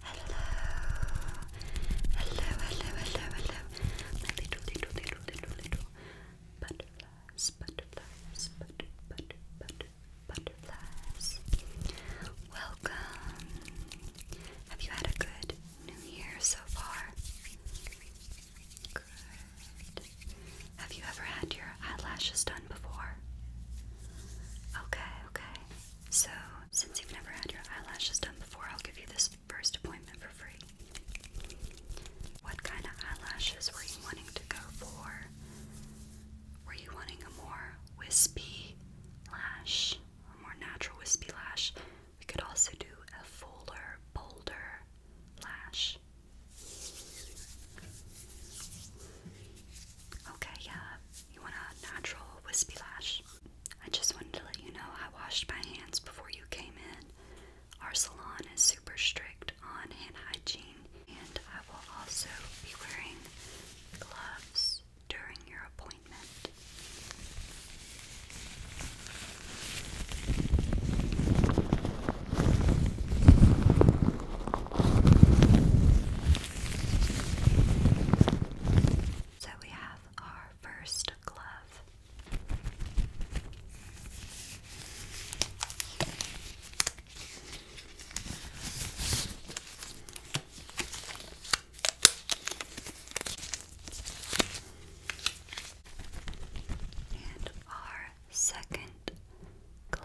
Hello, hello, hello, hello, hello, little, little, little, little, little butterflies, butterflies, butter, butter, butter, butterflies. Welcome. Have you had a good new year so far? Good. Have you ever had your eyelashes done before? Okay, okay. So, since you've never had your eyelashes done before, I'll give you this first appointment for free. What kind of eyelashes were you wanting to go for? Were you wanting a more wispy lash? A more natural wispy lash? We could also do a fuller, bolder lash. Okay, yeah, you want a natural wispy lash? I just wanted to let you know I washed my hands before you came in. Our salon is super strict on hand hygiene, and I will also be wearing gloves during your appointment. So we have our first glove. And our second glove.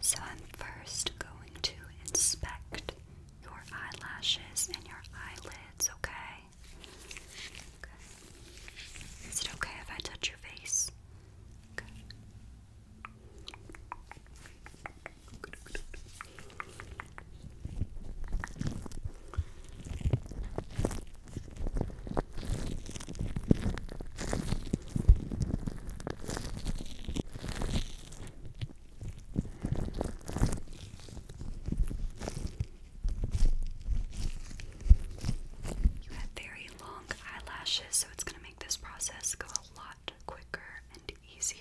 So I'm first going to inspect your eyelashes and your eyelids, okay? Is it okay if I touch your face? You have very long eyelashes, so it's going to make this process go a lot quicker and easier.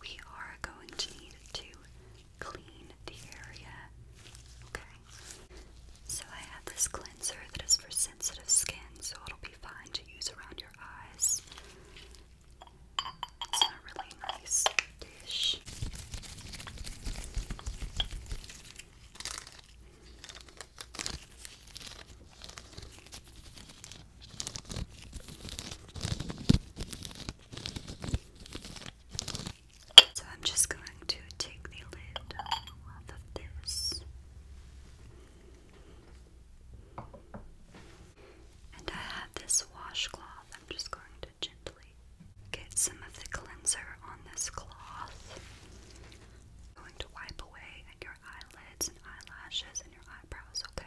We are going to need to clean the area, okay? So I have this cleanser that is for sensitive skin, so it'll be fine to use around your eyes. It's a really nice dish. So I'm just going to take the lid off of this. And I have this washcloth. I'm just going to gently get some of the cleanser on this cloth. i going to wipe away at your eyelids and eyelashes and your eyebrows, okay?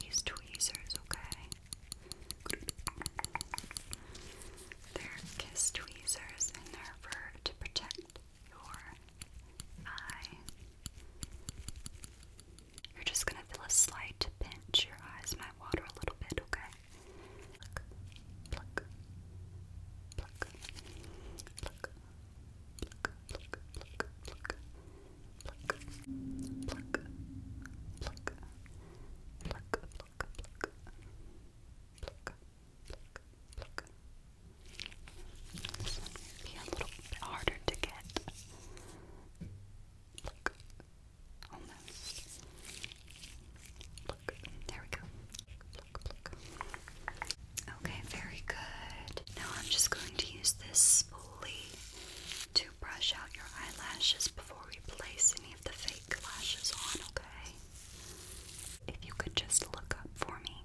these tweezers, okay? They're kiss tweezers and they're for to protect your eye. You're just gonna feel a slight pinch. Your eyes might water a little bit, okay? Pluck, pluck, pluck, pluck, pluck, pluck, pluck, pluck, be a little bit harder to get. almost. there we go. Okay, very good. Now I'm just going to use this exfoliate to brush out your eyelashes before we place any of the fake lashes on, okay? If you could just look up for me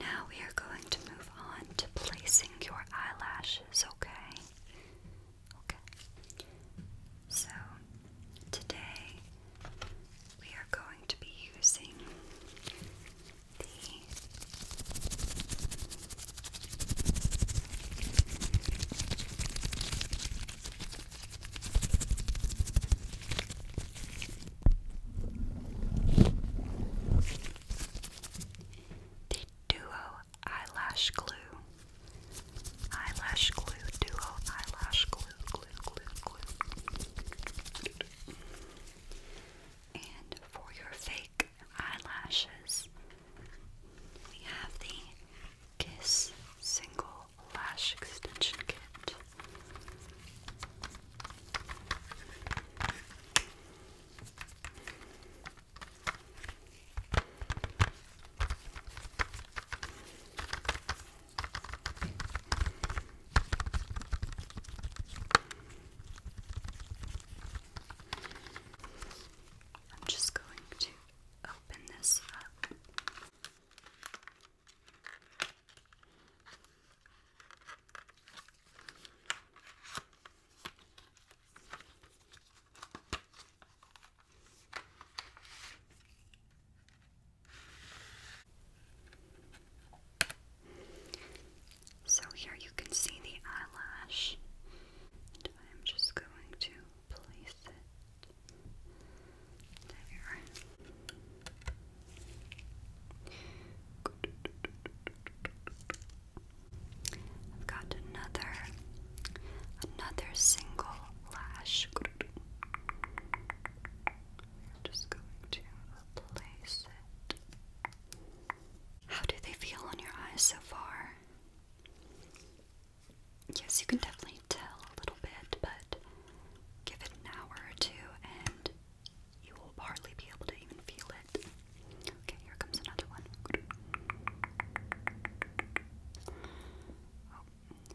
Now we are going to move on to placing your eyelashes, okay? Okay. So Today we are going to be using the Duo Eyelash Glue Eyelash Glue Duo Eyelash Glue glue, glue, And for your fake eyelashes, we have the Kiss Single Lash Extension Kit. I'm just going to open this up. So here you can see the eyelash, I'm just going to place it there. I've got another, another single lash. I'm just going to place it. How do they feel on your eyes so far? Yes, you can definitely tell a little bit, but give it an hour or two and you will hardly be able to even feel it. Okay, here comes another one. Oh.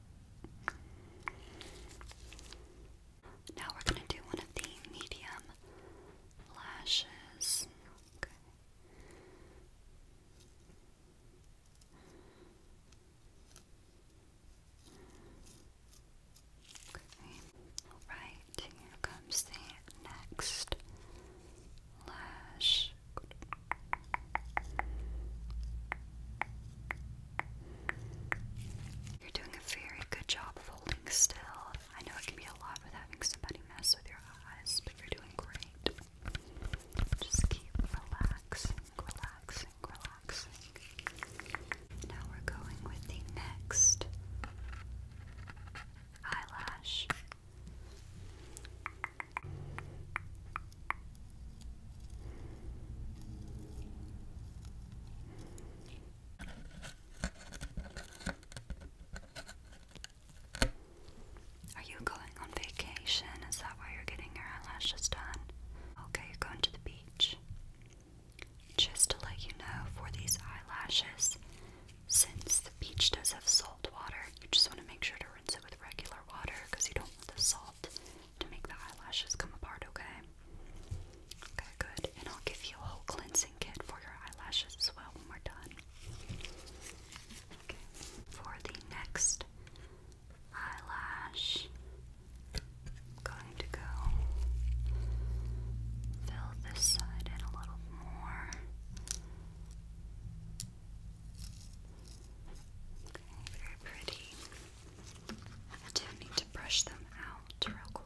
Now we're going to do one of the medium lashes. Okay. Okay. here comes the next lash. You're doing a very good job of holding still. I know it can be a lot with having somebody mess with your eyes, but you're doing great. Just keep relaxing, relaxing, relaxing. Now we're going with the next eyelash. Are you going on vacation? Is that why you're getting your eyelashes done? Okay, you're going to the beach. Just to let you know, for these eyelashes, since the beach does have salt water, you just want to make sure to rinse it with regular water because you don't want the salt to make the eyelashes come apart, okay? Okay, good. And I'll give you a whole cleansing kit for your eyelashes as well when we're done. Okay. For the next eyelash, I'm going to go fill this side in a little more. very pretty. I do need to brush them out real quick.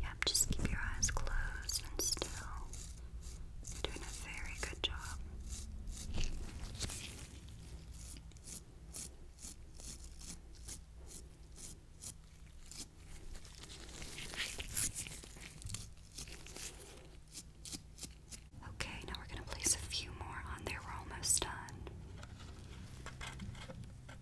Yep, just keep your eyes closed and still. doing a very good job. Okay, now we're going to place a few more on there. We're almost done.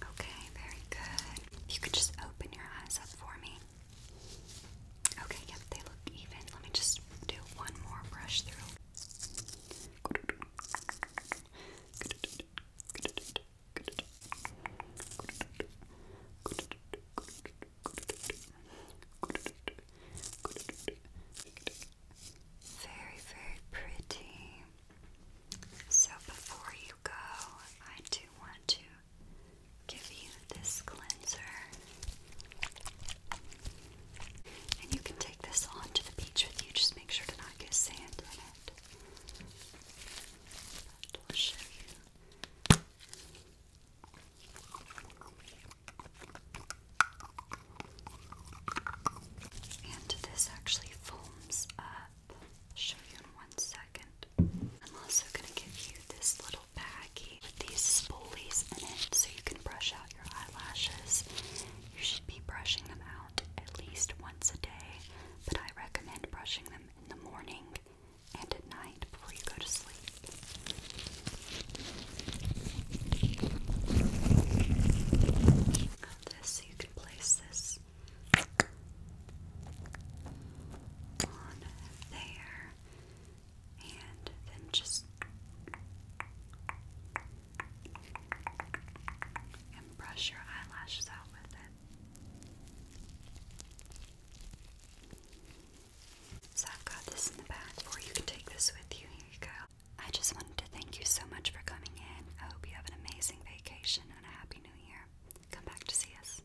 Okay, very good. If you could just open your eyes up for me. Okay, yep, they look even. Let me just do one more brush through. Very, very pretty. So before you go, I do want to give you this cleanser. And you can take this on the beach with you. Just make sure to not get sand in it. But will show you. And this actually foams up. show you in one second. I'm also going to give you this little with these spoolies in it so you can brush out your eyelashes. You should be brushing them out at least once a day, but I recommend brushing them in the morning and at night before you go to sleep. this so you can place this on there and then just and brush your eyelashes out with it. So I've got this in the back, or you can take this with you. Here you go. I just wanted to thank you so much for coming in. I hope you have an amazing vacation and a happy new year. Come back to see us.